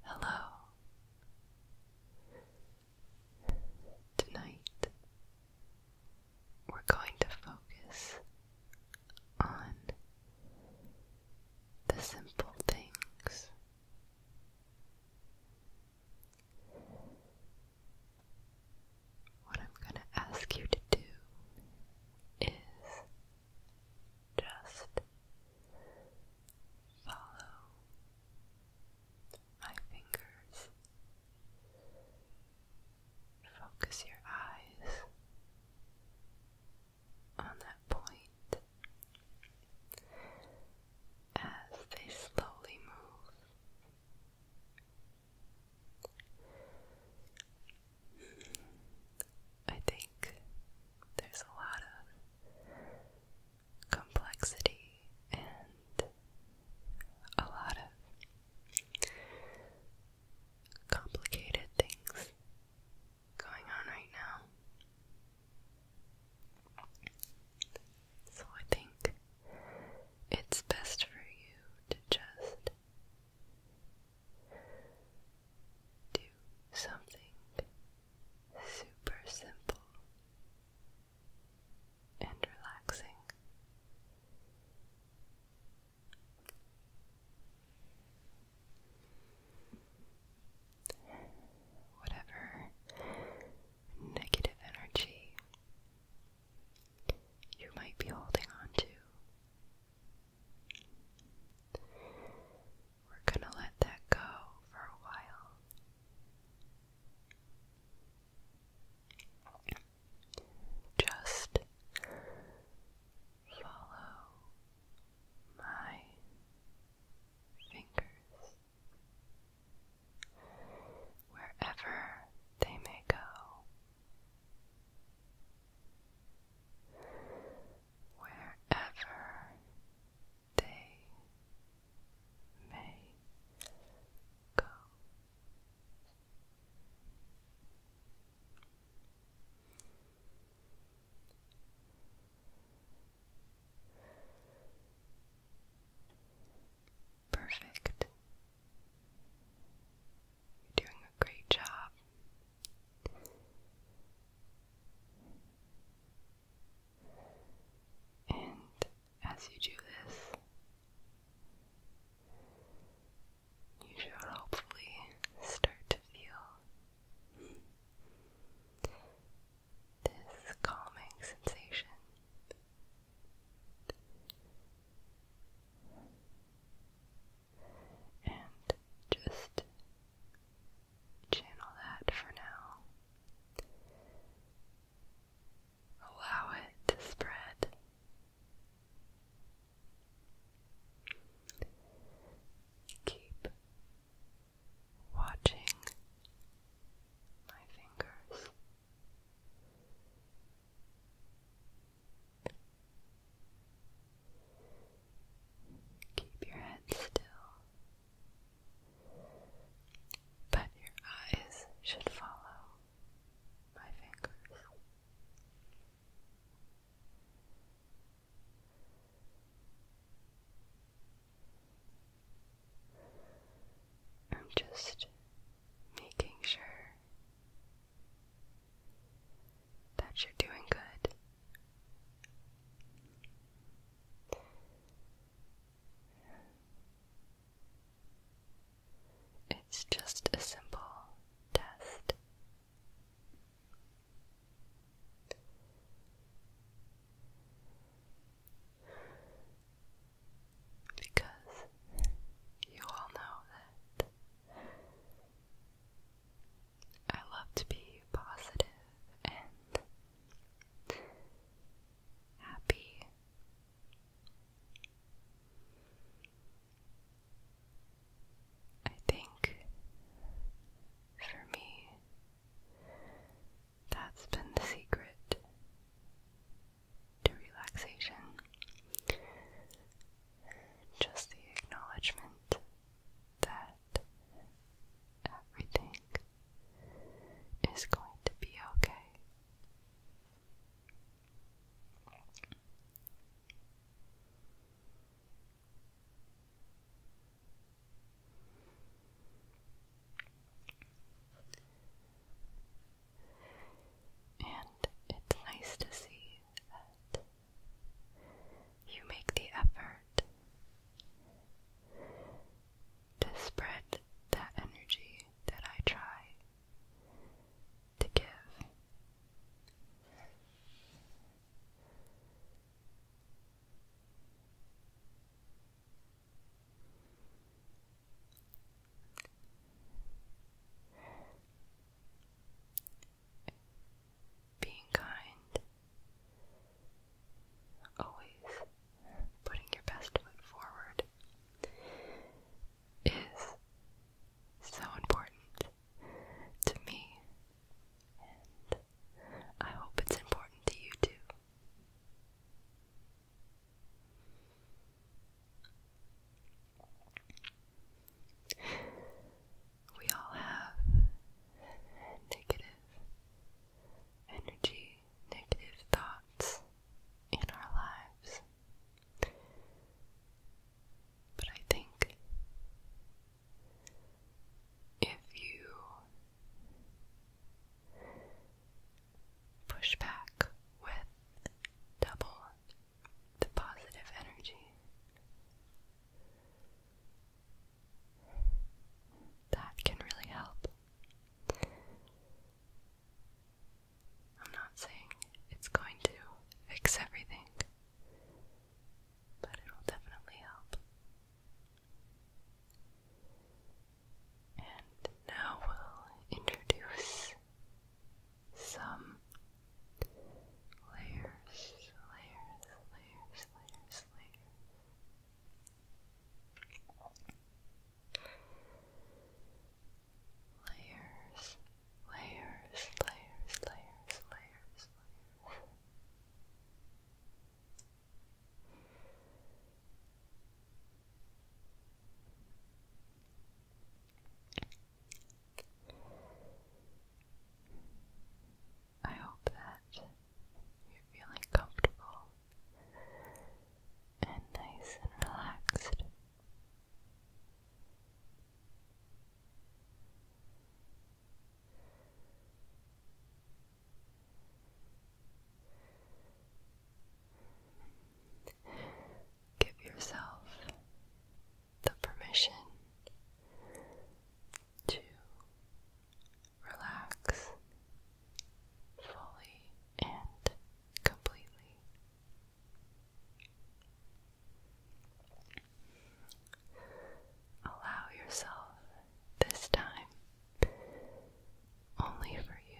Hello. Tonight, we're going to focus on the simple things. What I'm going to ask you to do is just follow my fingers. Focus your eyes on that point as they slowly move. I think there's a lot of complexity and a lot of complicated things going on right now. So I think it's best for you to just do something super simple and relaxing. Whatever negative energy you might be holding on to we're going to let that go for a while. Just follow my fingers wherever they may go wherever they may go. Perfect. You're doing a great job. And as you do this, you should hopefully start to feel this calming sensation and just channel that for now. Allow it to spread. Keep watching my fingers. Keep your head still, but your eyes should follow my fingers. I'm just making sure that you're doing good. It's just a simple test. Because you all know that I love to be positive and happy. I think for me, that's been the secret to relaxation. Just the acknowledgement that everything is going to be okay. And it's nice to see that you make the effort to spread that energy that I try to give being kind, always putting your best foot forward is so important to me, and I hope it's important to you too we all have negative energy, negative thoughts in our lives. But I think if you push back with double the positive energy. That can really help. I'm not saying it's going to fix everything, but it'll definitely help. And now we'll introduce some layers, layers, layers, layers, layers. Layers, layers, layers, layers, layers, layers. I hope that you're feeling comfortable and nice and relaxed. Give yourself the permission to relax fully and completely. Allow yourself this time only for you.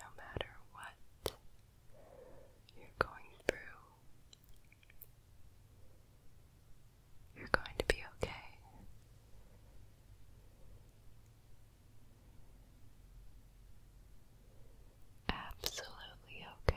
No matter what you're going through, you're going to be okay. Absolutely okay.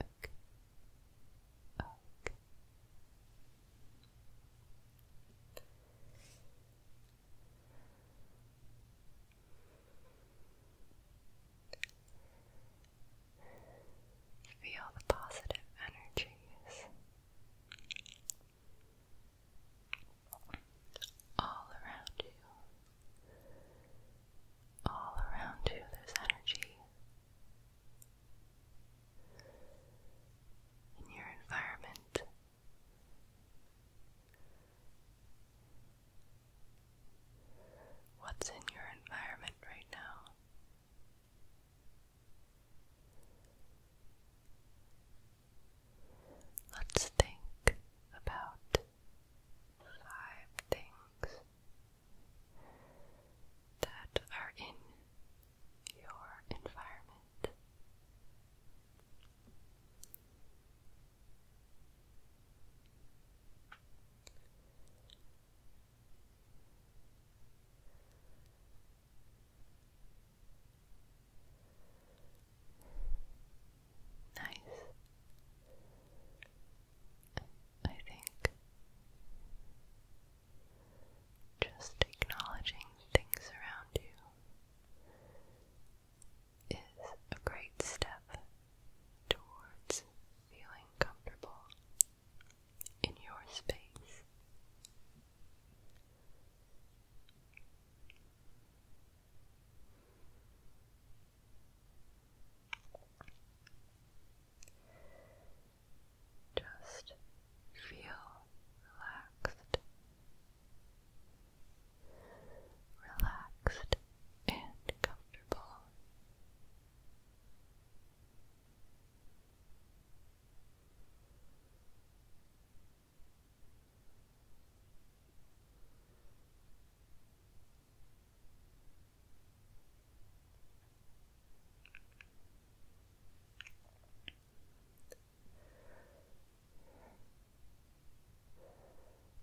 Okay. Feel the positive energies all around you. All around you, there's energy in your environment. What's in your environment right now? Let's think about five things that are in your environment. Nice. I think. Just acknowledging things around you is a great step towards feeling comfortable in your space. Just feel relaxed, relaxed and comfortable.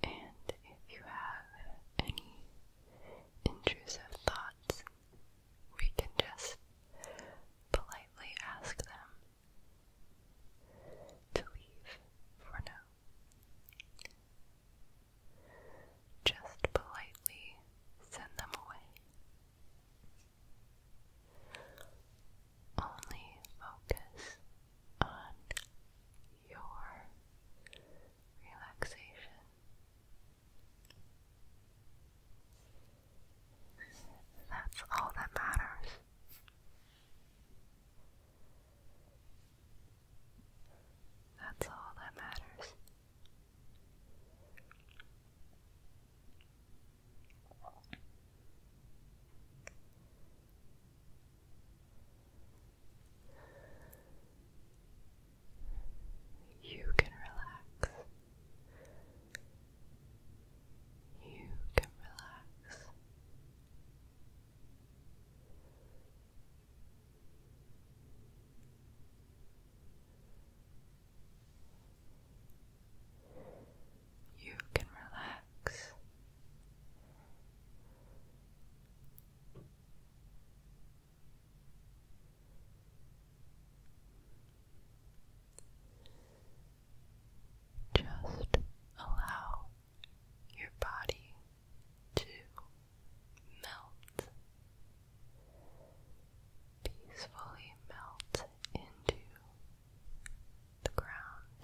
And if you have any intrusive thoughts, we can just politely ask them to leave for now. Just politely send them away. Only focus on your relaxation. That's all that matters. That's all that matters. You can relax. You can relax. You can relax. Just allow your body to melt, peacefully melt into the ground.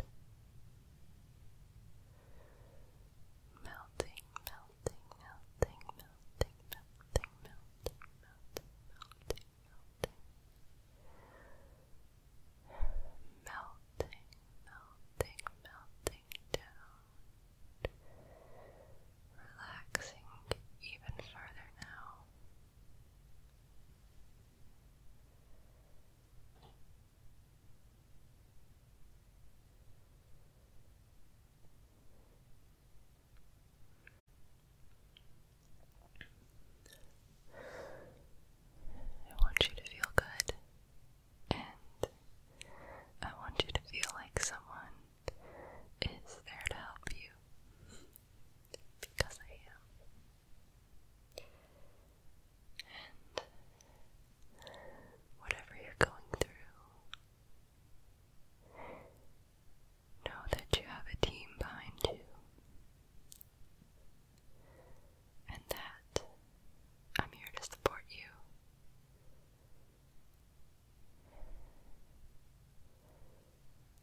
Melting, melting, melting, melting, melting, melting, melting, melting, melting. Melting, melting, melting, relaxing even further now. I want you to feel good and I want you to feel like someone is there to help you because I am. And whatever you're going through, know that you have a team behind you. And that I'm here to support you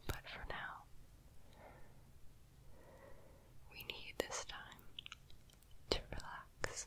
but for now, we need this time to relax.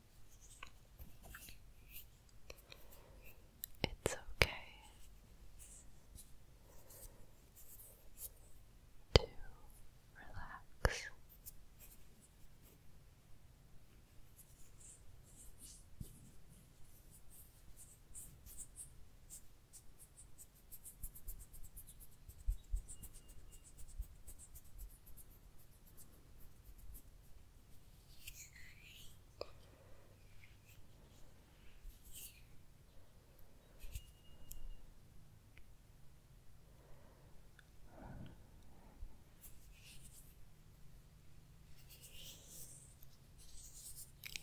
It's okay to relax.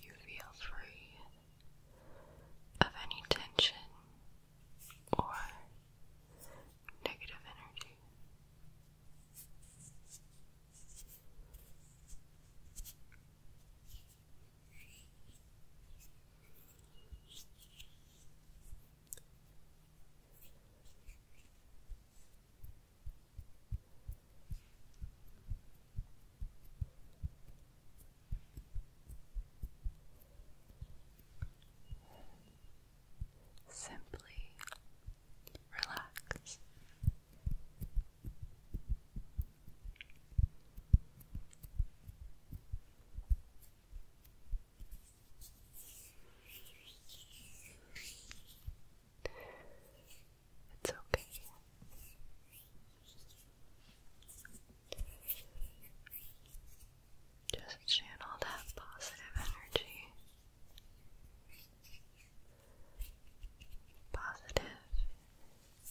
You feel free of any tension or negative energy. Simply relax. It's okay. Just channel that positive energy. Positive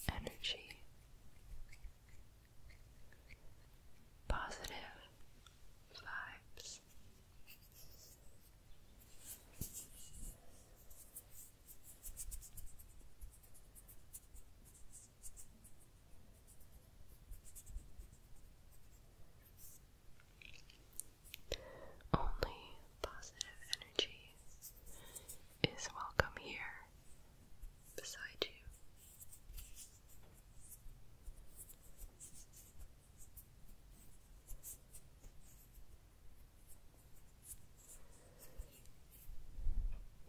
energy. Positive vibes. Good. Only positive energy is welcome here beside you.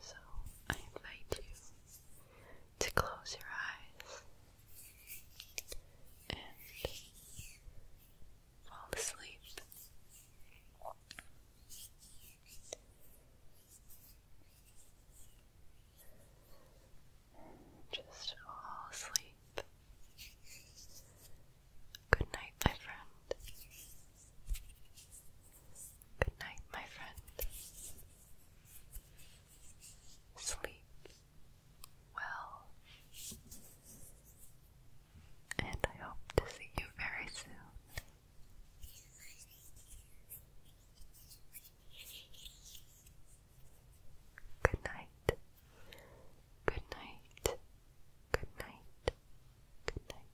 So I invite you to close your eyes and fall asleep. Just fall asleep. Good night, my friend. Good night, my friend sleep well, and I hope to see you very soon. Good night. Good night. Good night. Good night.